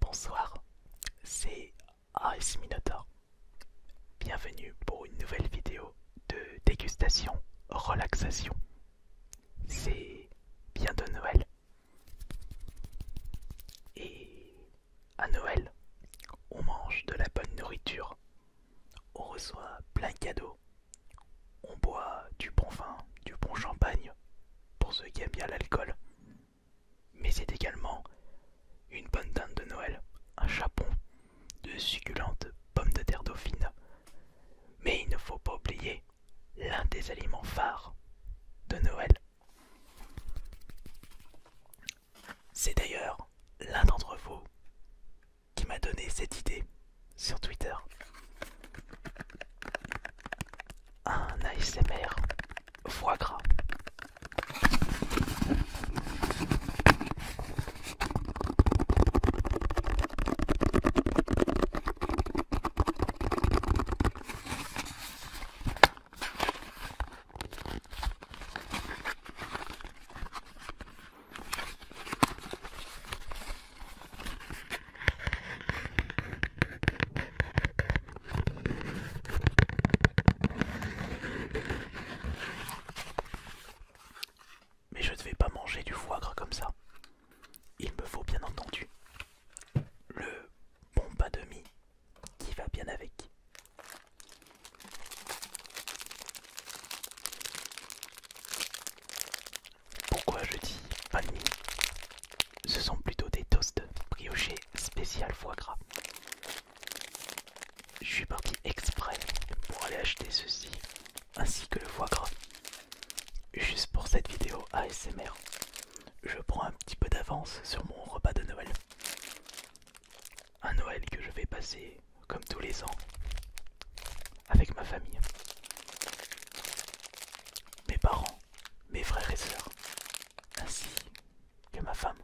Bonsoir, c'est AS Minotaur. Bienvenue pour une nouvelle vidéo de dégustation relaxation. C'est bien de Noël. Et à Noël, on mange de la bonne nourriture, on reçoit plein de cadeaux, on boit du bon vin, du bon champagne pour ceux qui aiment bien l'alcool mais c'est également une bonne teinte de Noël, un chapon, de succulentes pommes de terre dauphine. Mais il ne faut pas oublier l'un des aliments phares de Noël. C'est d'ailleurs l'un d'entre vous qui m'a donné cette idée sur Twitter un ASMR foie gras. Mais je ne vais pas manger du foie gras comme ça. Il me faut bien entendu le bon pas de mie qui va bien avec. Pourquoi je dis panini Ce sont plutôt des toasts briochés spécial foie gras. Je suis parti exprès pour aller acheter ceci ainsi que le foie gras. Juste pour cette vidéo ASMR, je prends un petit peu d'avance sur mon repas de Noël. Un Noël que je vais passer comme tous les ans avec ma famille. Mes parents mes frères et sœurs, ainsi que ma femme.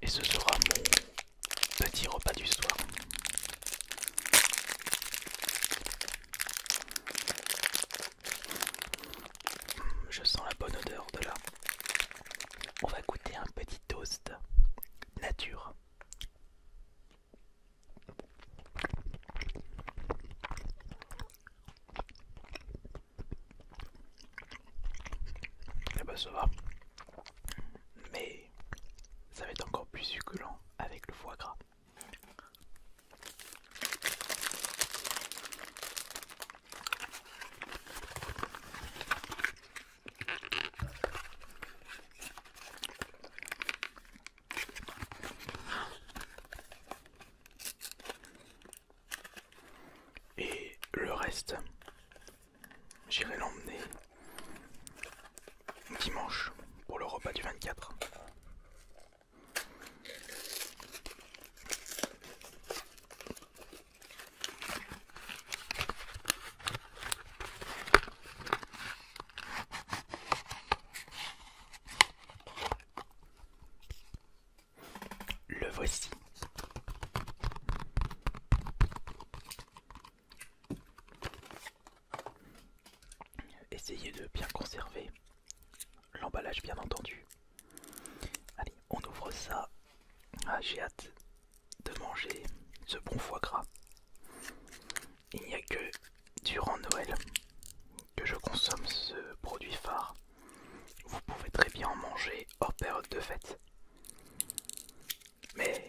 Et ce sera mon petit repas du soir. Je sens la bonne odeur de là. On va goûter un petit toast nature. Et eh bah ben, ça va. Mais ça va être encore plus succulent avec le foie gras. Et le reste, j'irai l'emmener dimanche pour le repas du 24. Le voici. Essayez de bien conserver l'emballage bien entendu. Allez, on ouvre ça. Ah, j'ai hâte de manger ce bon foie gras. Il n'y a que durant Noël que je consomme ce produit phare. Vous pouvez très bien en manger hors période de fête. Mais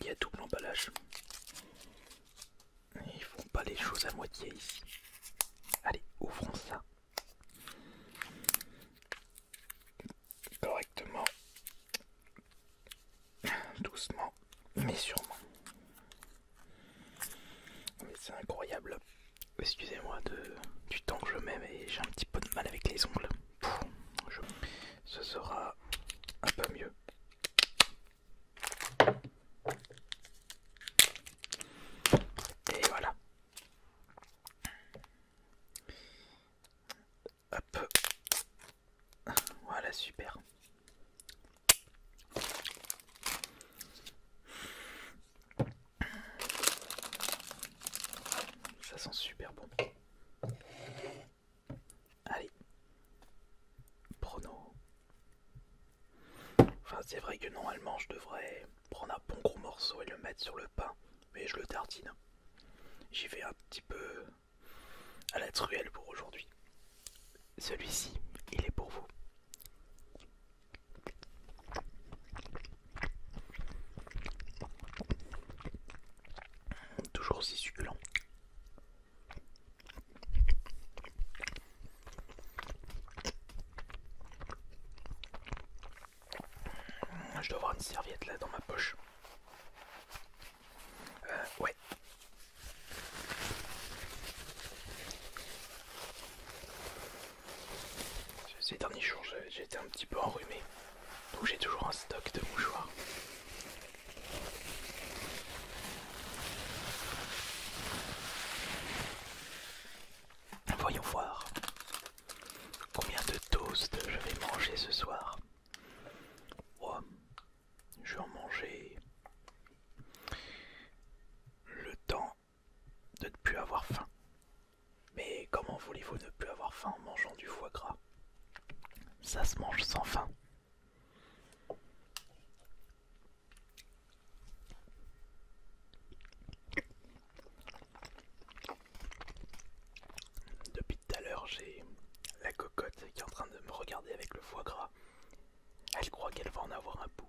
Il y a double emballage. Ils font pas les choses à moitié ici. Allez, ouvrons ça correctement, doucement, mais sûrement. Mais c'est incroyable. Excusez-moi du temps que je mets, mais j'ai un petit peu de mal avec les ongles. Ce sera un peu mieux. Et voilà. Hop. Voilà, super. Ça sent super bon. Allez, prono. Enfin, c'est vrai que normalement, je devrais prendre un bon gros morceau et le mettre sur le pain, mais je le tartine. J'y vais un petit peu à la truelle pour aujourd'hui. Celui-ci, il est pour vous. Toujours si succulent. Je dois avoir une serviette là dans ma poche. Euh, ouais. Ces derniers jours, j'ai été un petit peu enrhumé, donc j'ai toujours un stock de mouchoirs. Voyons voir combien de toasts je vais manger ce soir. je vais en manger le temps de ne plus avoir faim. Mais comment voulez-vous ne plus avoir faim en mangeant du foie gras Ça se mange sans faim. Depuis tout à l'heure, j'ai la cocotte qui est en train de me regarder avec le foie gras. Elle croit qu'elle va en avoir un bout.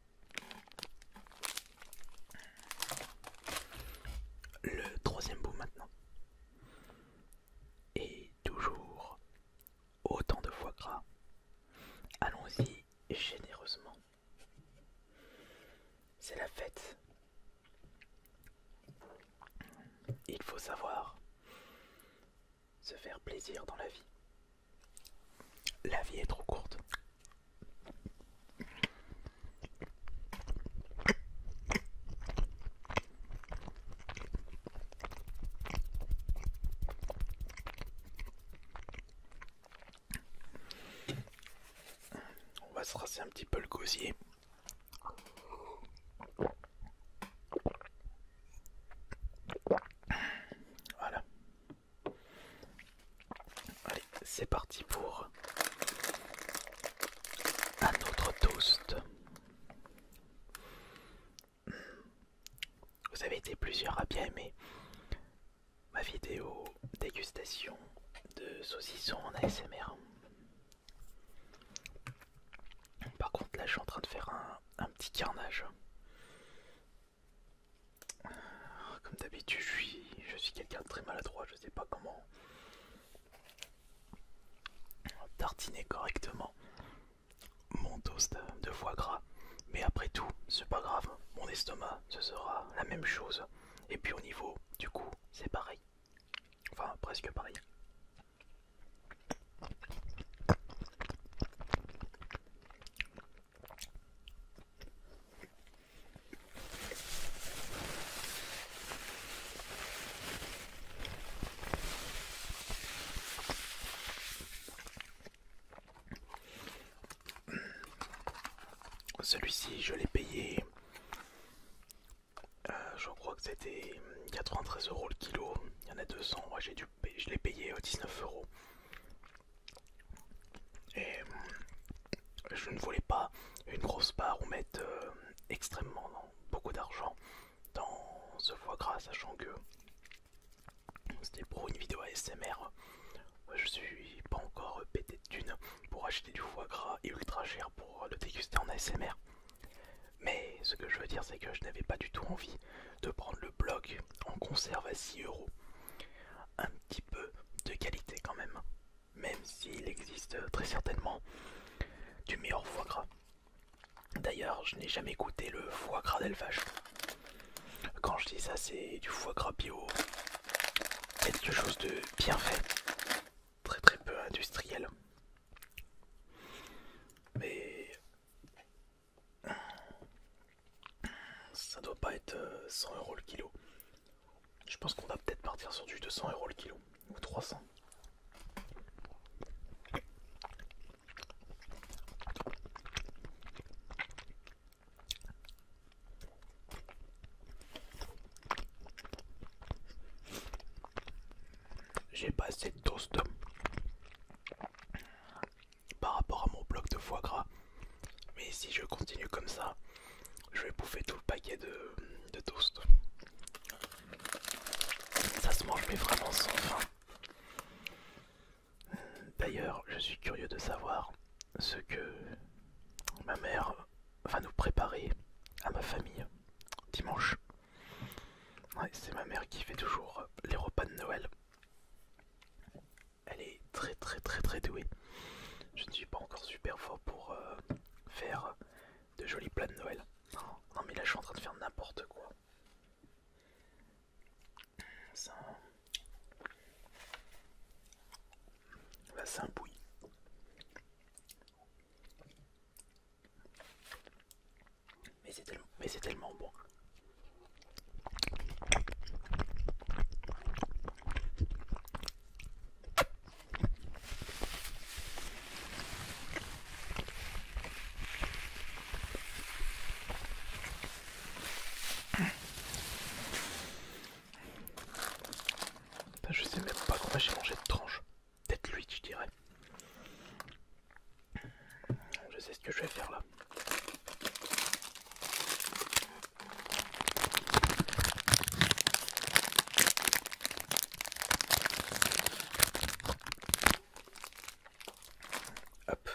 Le troisième bout maintenant. Et toujours autant de foie gras. Allons-y généreusement. C'est la fête. Il faut savoir se faire plaisir dans la vie. La vie est trop courte. On va se rasser un petit peu le gosier. Voilà. Allez, c'est parti pour un autre toast. Vous avez été plusieurs à bien aimer ma vidéo dégustation de saucisson en ASMR. Par contre là je suis en train de faire un, un petit carnage. Ah, comme d'habitude, je suis, je suis quelqu'un de très maladroit, je ne sais pas comment tartiner correctement mon toast de foie gras. Mais après tout, c'est pas grave, mon estomac, ce sera la même chose. Et puis au niveau du coup, c'est pareil. Enfin, presque pareil. Celui-ci, je l'ai payé. Euh, je crois que c'était 93 euros le kilo. Il y en a 200. Moi, j'ai dû je l'ai payé 19 euh, euros. Et euh, je ne voulais pas une grosse part ou mettre euh, extrêmement beaucoup d'argent dans ce foie gras, sachant que c'était pour une vidéo ASMR. Je suis pas encore pété de pour acheter du foie gras et ultra cher pour le déguster en ASMR. Mais ce que je veux dire, c'est que je n'avais pas du tout envie de prendre le bloc en conserve à 6 euros. Un petit peu de qualité quand même, même s'il existe très certainement du meilleur foie gras. D'ailleurs, je n'ai jamais goûté le foie gras d'élevage. Quand je dis ça, c'est du foie gras bio, quelque chose de bien fait, très très peu industriel. Mais ça doit pas être 100 euh, euros le kilo. Je pense qu'on va peut-être partir sur du 200 euros le kilo ou 300. J'ai pas assez de toast par rapport à mon bloc de foie gras. Mais si je continue comme ça, je vais bouffer tout le paquet de, toast. Ça se mange mais vraiment sans fin. D'ailleurs, je suis curieux de savoir ce que ma mère va nous préparer à ma famille dimanche. Ouais, c'est ma mère qui fait toujours euh, les repas de Noël. Elle est très très très très douée. Je ne suis pas encore super fort pour euh, faire de jolis plats de Noël. non mais là je suis en train de faire n'importe quoi. Ça... Là c'est un mais c'est tellement, bon. Je sais même pas comment j'ai mangé de tranche. Peut-être lui, je dirais. Je sais ce que je vais faire là. Hop,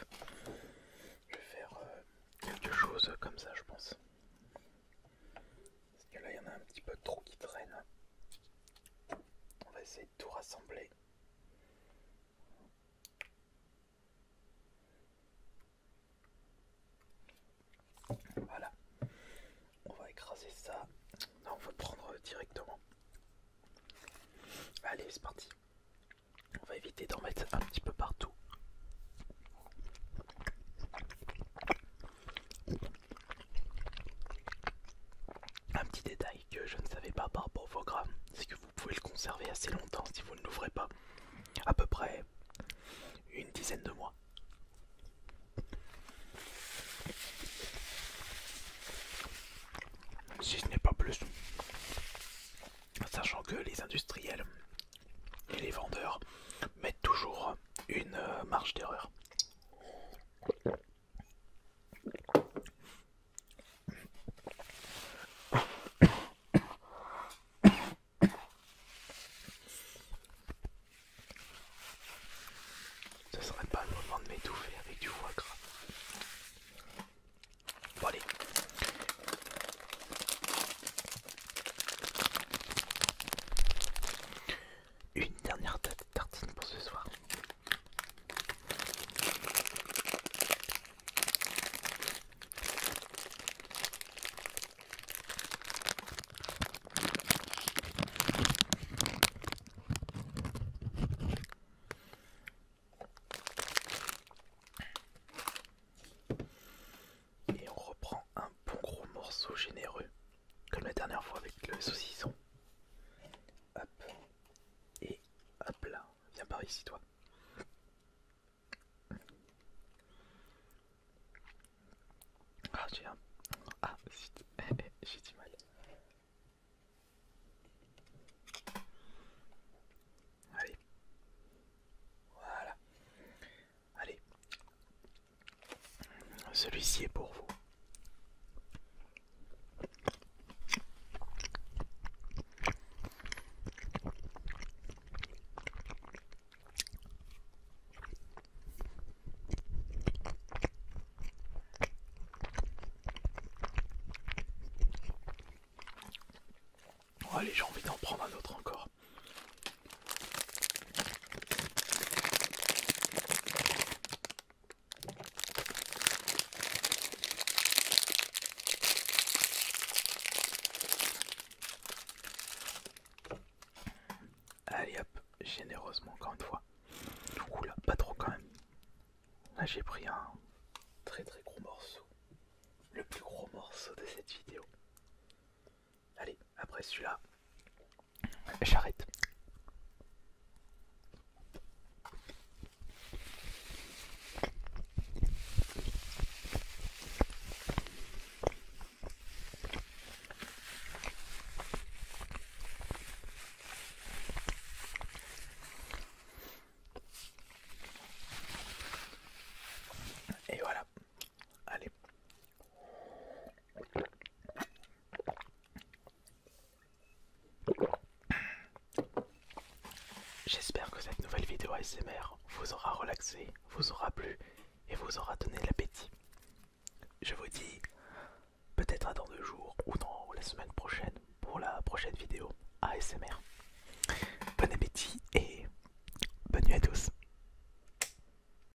je vais faire euh, quelque chose comme ça, je pense. Parce que là, il y en a un petit peu trop qui traîne. On va essayer tout rassembler. Voilà, on va écraser ça. Non, on va prendre directement. Allez, c'est parti. On va éviter d'en mettre un petit peu partout. Un petit détail que je ne savais pas par rapport au c'est que vous pouvez le conserver assez longtemps si vous ne l'ouvrez pas, à peu près une dizaine de mois. Si ce n'est pas plus, sachant que les industriels et les vendeurs mettent toujours une euh, marge d'erreur. Ce serait pas le moment de m'étouffer avec du foie gras. allez. Une dernière tartine pour ce soir. Et on reprend un bon gros morceau généreux comme la dernière fois avec le saucisson. Hop. Et hop là. Viens par ici toi. Ah j'ai un... Ah zut. j'ai du mal. Allez. Voilà. Allez. Celui-ci est pour vous. Oh, allez, j'ai envie d'en prendre un autre encore. Allez hop, généreusement encore une fois. là, pas trop quand même. Là j'ai pris un très très gros morceau. Le plus gros morceau de cette vidéo. Allez, après celui-là, J'arrête. Et voilà. Allez. J'espère que cette nouvelle vidéo ASMR vous aura relaxé, vous aura plu et vous aura donné l'appétit. Je vous dis peut-être dans deux jours ou dans la semaine prochaine pour la prochaine vidéo ASMR. Bon appétit et bonne nuit à tous.